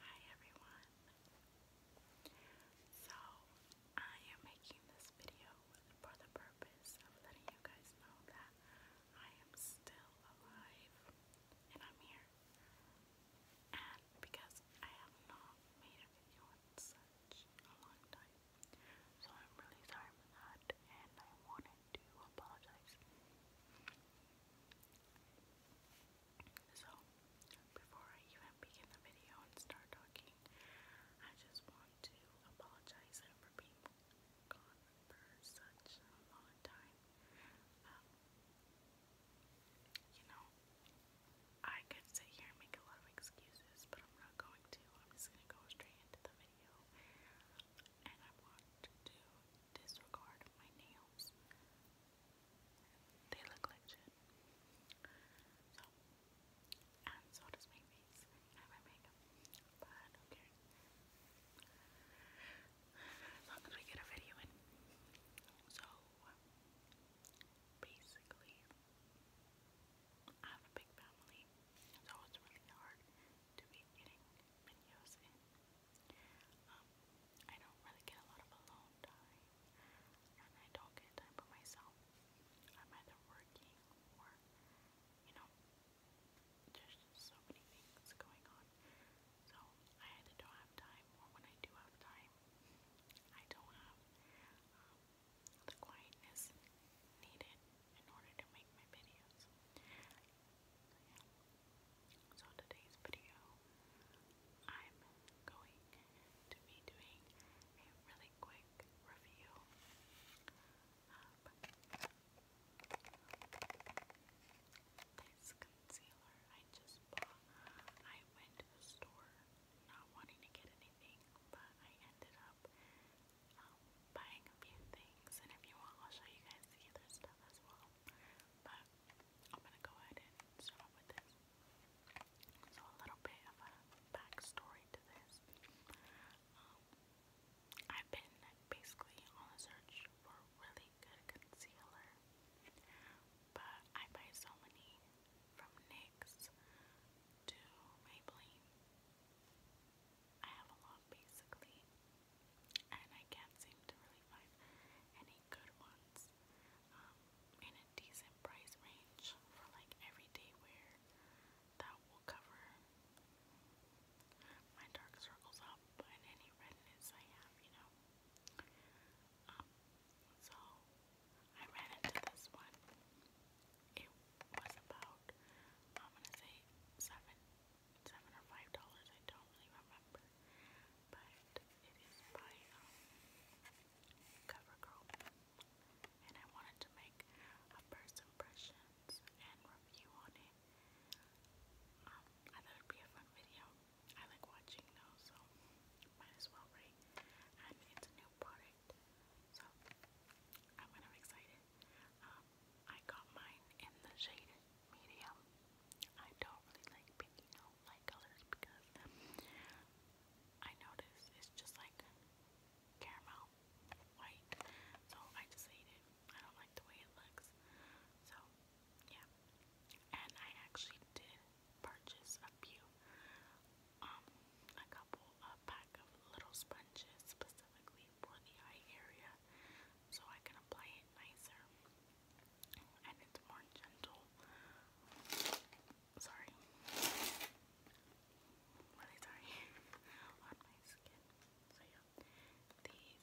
Hi everyone. So, I am making this video for the purpose of letting you guys know that I am still alive and I'm here. And because I have not made a video in such a long time. So, I'm really sorry for that and I wanted to apologize. So, before I even begin the video and start talking, I just want to apologize for being gone for such a long time. Um, you know, I could sit here and make a lot of excuses, but I'm not going to. I'm just going to go straight into the video. And I want to disregard my nails. They look like shit. So, and so does my face and my makeup. But As long as we get a video in. So, basically, I have a big family, so it's really hard to be getting videos in. Um, I don't really get a lot of alone time, and I don't get time for myself. I'm either working or, you know, just so many things going on. So I either don't have time, or when I do have time, I don't have um, the quietness needed in order to make my videos. So today's video, I'm going to be doing a really quick review this concealer I just bought. I went to the store not wanting to get anything, but I ended up um, buying a few things. And if you want, I'll show you guys the other stuff as well. But I'm gonna go ahead and start with this. So a little bit of a backstory to this. Um, I've been basically on a search for really good concealer, but I buy so many from NYX to Maybelline. I have a lot basically, and I can't seem to really find any good ones um, in a decent price range for like everyday wear that will cover my dark circles up and any redness I have, you know. Um, so I ran into this one. It was about I'm gonna say seven seven or five dollars, I don't really remember. But it is by um, CoverGirl. And I wanted to make a first impressions and review on it. Um, I thought it'd be a fun video. I like watching those, so might as well, right? And it's a new product, so I'm kind of excited. Um, I got mine in the shade medium. I don't really like pink, you light colors because I notice it's just like caramel white. So I just hate it. I don't like the way it looks. So yeah. And I actually did purchase a few um a couple a pack of little sponges specifically for the eye area so I can apply it nicer and it's more gentle. Sorry. Really sorry on my skin. So yeah, these are little sponges.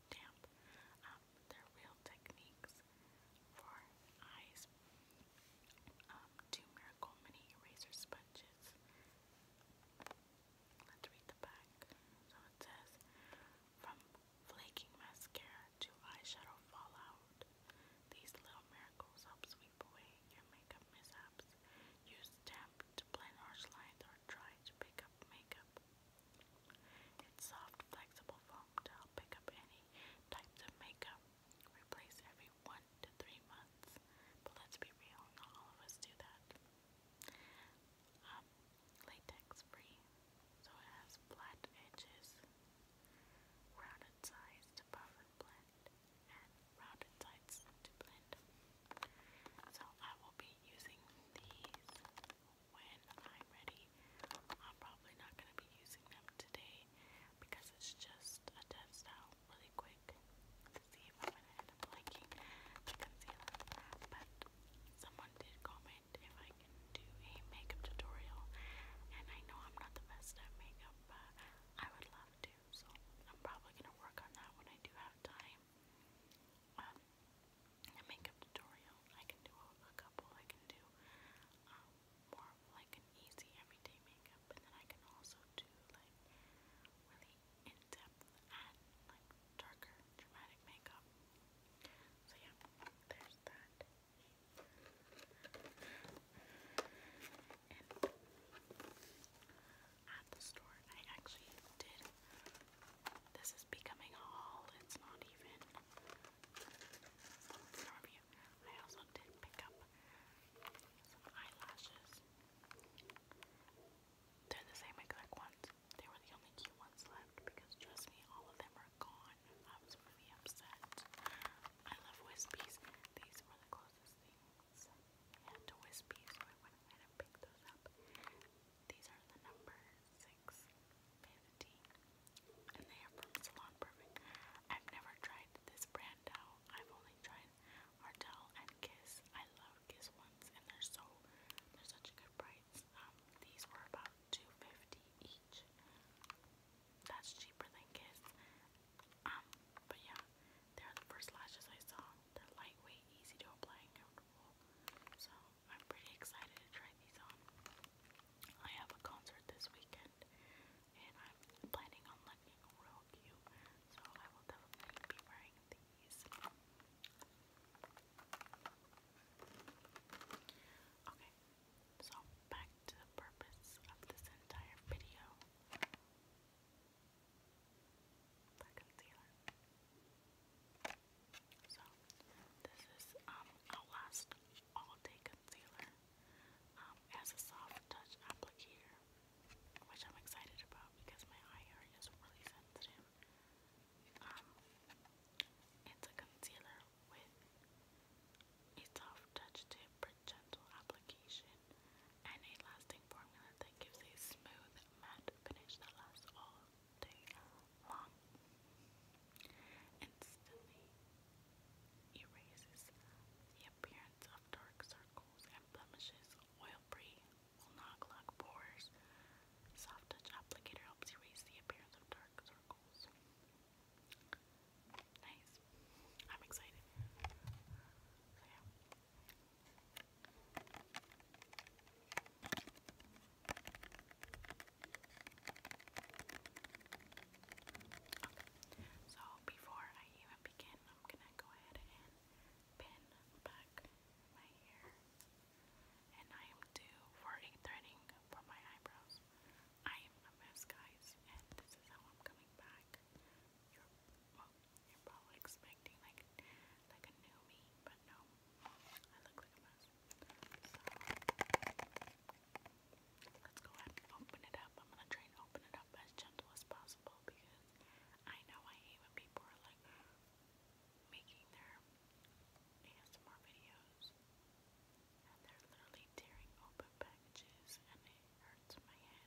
are damp. Um, they real techniques for eyes. Um, two Miracle Mini Eraser Sponges. Let's read the back. So it says, from flaking mascara to eyeshadow fallout, these little miracles help sweep away your makeup mishaps. Use damp to blend harsh lines or dry to pick up makeup. Its soft, flexible foam to help pick up any types of makeup. Replace every one to three months. But let's be real, not all of us do that. Um, latex free, so it has flat edges, rounded sides to buff and blend, and rounded sides to blend. So I will be using these when I'm ready. I'm probably not going to be using them today because it's just a test out really quick to see if I'm going to end up liking the concealer. But someone did comment if I can do a makeup tutorial, and I know I'm not the best at makeup, but I would love to, so I'm probably going to work on that when I do have time um, a makeup tutorial. I can do a, couple. I can do um, more like an easy everyday makeup, and then I can also do like really in-depth and like darker, dramatic makeup. So yeah, there's that. at the store, I actually did this is becoming a haul. It's not even. I also did pick up some eyelashes. They're the same exact ones. They were the only cute left because trust me, all of them are gone. I was really upset. I love wispies. These were the closest things had to wispies, so I went ahead and picked those up. These are the number 650, and they are from Salon Perfect. I've never tried this brand out. I've only tried Martell and Kiss. I love Kiss ones, and they're so they're such good price. Um, these were about 250 each. That's cheaper than Kiss. Um, but yeah, they're the first lashes I saw. They're lightweight, easy to apply, so I'm pretty excited to try these on. I have a concert this weekend and I'm planning on looking real cute. So I will definitely be wearing these. Okay, so back to the purpose of this entire video. Black concealer. So this is um Outlast All Day Concealer um, as a soft touch applicator, which I'm excited about because my eye area is really sensitive. Um, it's a concealer with a soft touch tip for gentle application and a lasting formula that gives a smooth finish that lasts all day long. Instantly erases the appearance of dark circles and blemishes. Oil-free will not clog pores. Soft touch applicator helps erase the appearance of dark circles. Nice. I'm excited. Okay. So before I even begin, I'm gonna go ahead and pin back my hair. And I am due for a threading for my eyebrows. I am a mess, guys, and this is how I'm coming back. you you're probably expecting like like a new me, but no, I look like a mess. So let's go ahead and open it up. I'm gonna try and open it up as gentle as possible because I know I hate when people are like making their ASMR videos and they're literally tearing open packages and it hurts my head.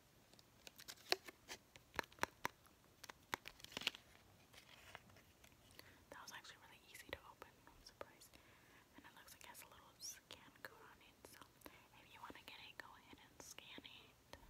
That was actually really easy to open, i And it looks like it has a little scan code on it, so if you want to get it, go ahead and scan it. Okay.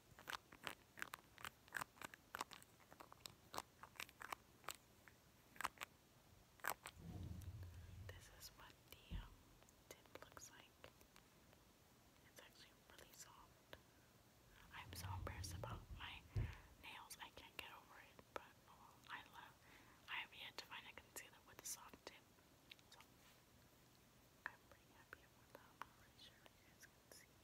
This is what the um, tip looks like. It's actually really soft. I'm so embarrassed about my nails. I can't get over it, but oh, I love. I have yet to find a concealer with a soft tip, so I'm pretty happy about that. I'm not sure if you guys can see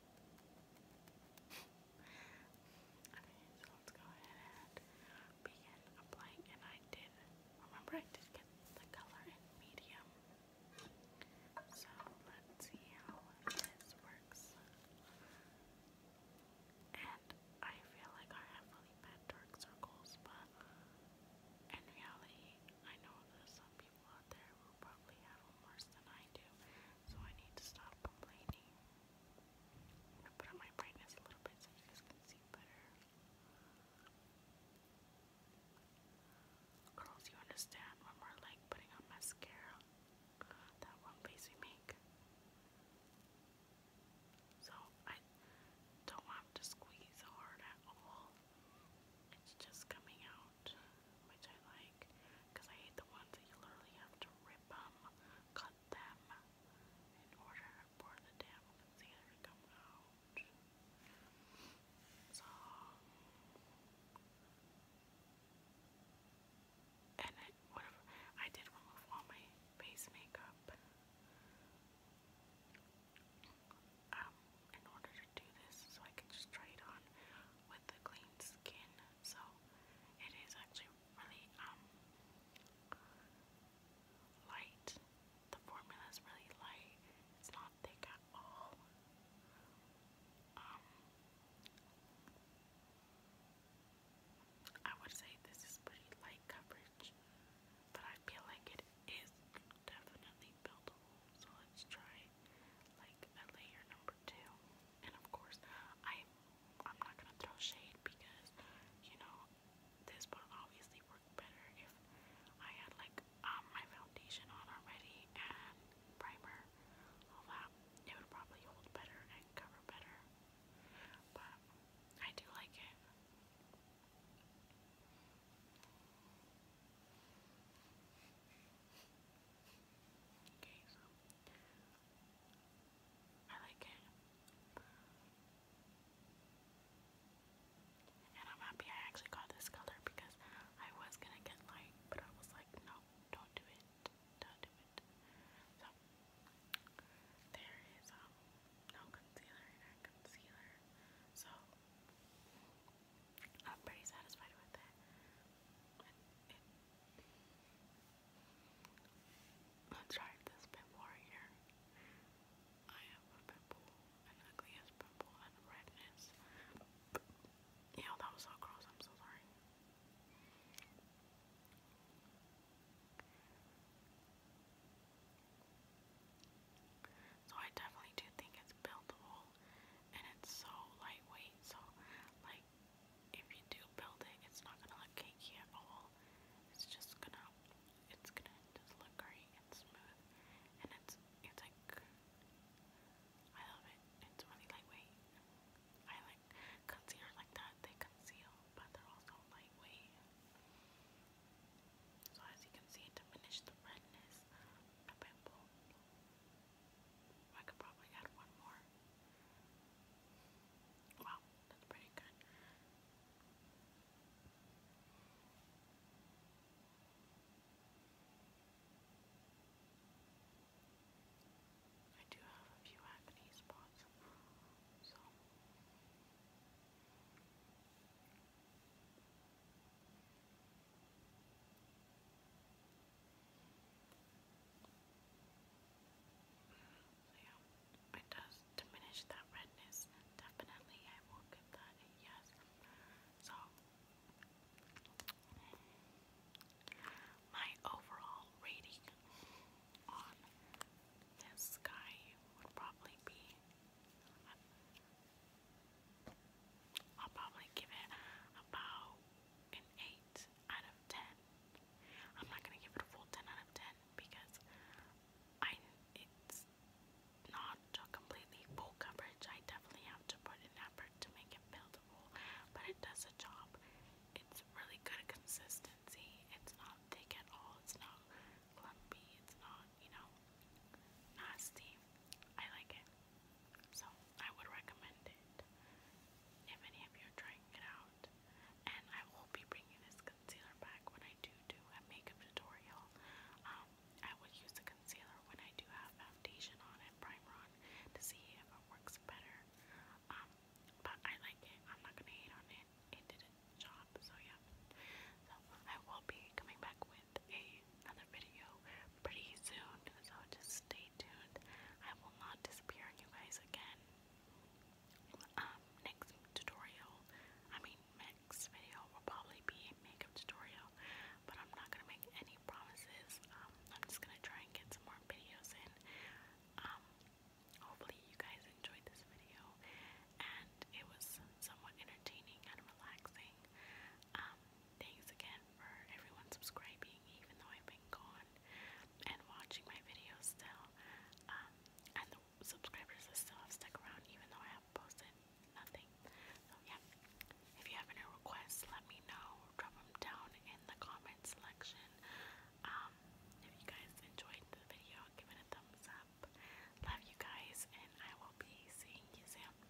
okay, so let's go ahead and begin applying. And I did, remember I did get the color in medium. So let's see how this works. And I feel like I have really bad dark circles, but in reality, I know there's some people out there who probably have worse than I do, so I need to stop complaining. I'm gonna put on my brightness a little bit so you guys can see better. Girls, you understand when we're like putting on mascara, that one face we make. So I don't have to squeeze hard at all. It's just coming out, which I like because I hate the ones that you literally have to rip them, cut them, in order for the damn concealer to come out. So, and it I did remove all my face makeup um, in order to do this so I could just try it on with clean skin, so it is actually really um light. The formula is really light. It's not thick at all. Um, I would say this is pretty light coverage, but I feel like it is definitely buildable. So let's try like layer number two. And of course, I I'm not gonna throw shade because, you know, this would obviously work better if I had like um, my foundation on already and primer, all that. It would probably hold better and cover better. But I do like it. Okay, so I like it. And I'm happy I actually got this color because I was gonna get light, but I was like, no, don't do it. Don't do it. So there is um, no concealer and a concealer. So I'm pretty satisfied with it. Let's try this pimple right I have a pimple, an ugly pimple, and redness. Ew, that was so gross, I'm so sorry. So I definitely do think it's buildable and it's so lightweight, so like if you do build it, it's not gonna look cakey at all. It's just gonna, it's gonna just look great and smooth, and it's it's like I love it. It's really lightweight. I like concealers like that. They conceal, but they're also lightweight. So as you can see, it diminished the redness a bit. Bold. I could probably add one more. Wow, that's pretty good. I do have a few acne spots, so yeah, it does diminish that redness. Definitely, I will give that a yes. So, my overall rating on this guy would probably be. I'll probably give it about an 8 out of 10. I'm not going to give it a full 10 out of 10 because I it's not a completely full coverage. I definitely have to put an effort to make it buildable, but it does a job. It's really good consistency. It's not thick at all. It's not clumpy. It's not, you know, nasty. I like it. So I would recommend it if any of you are trying it out. And I will be bringing this concealer back when I do do a makeup tutorial. Um, I would use the concealer when I do have foundation on and primer on to see if it works better. Um, but I like it. I'm not gonna hate on it. It did its job, so yeah. So I will be coming back with a, another video pretty soon, so just stay tuned. I will not disappear you guys again. Um, next tutorial, I mean next video will probably be a makeup tutorial, but I'm not gonna make any promises. Um, I'm just gonna try and get some more videos in. Um, hopefully you guys enjoyed this video and it was somewhat entertaining and relaxing thanks again for everyone subscribing, even though I've been gone, and watching my videos still. Um, and the subscribers that still have stuck around, even though I have posted nothing. So, yeah. If you have any requests, let me know. Drop them down in the comment section. Um, if you guys enjoyed the video, give it a thumbs up. Love you guys, and I will be seeing you soon.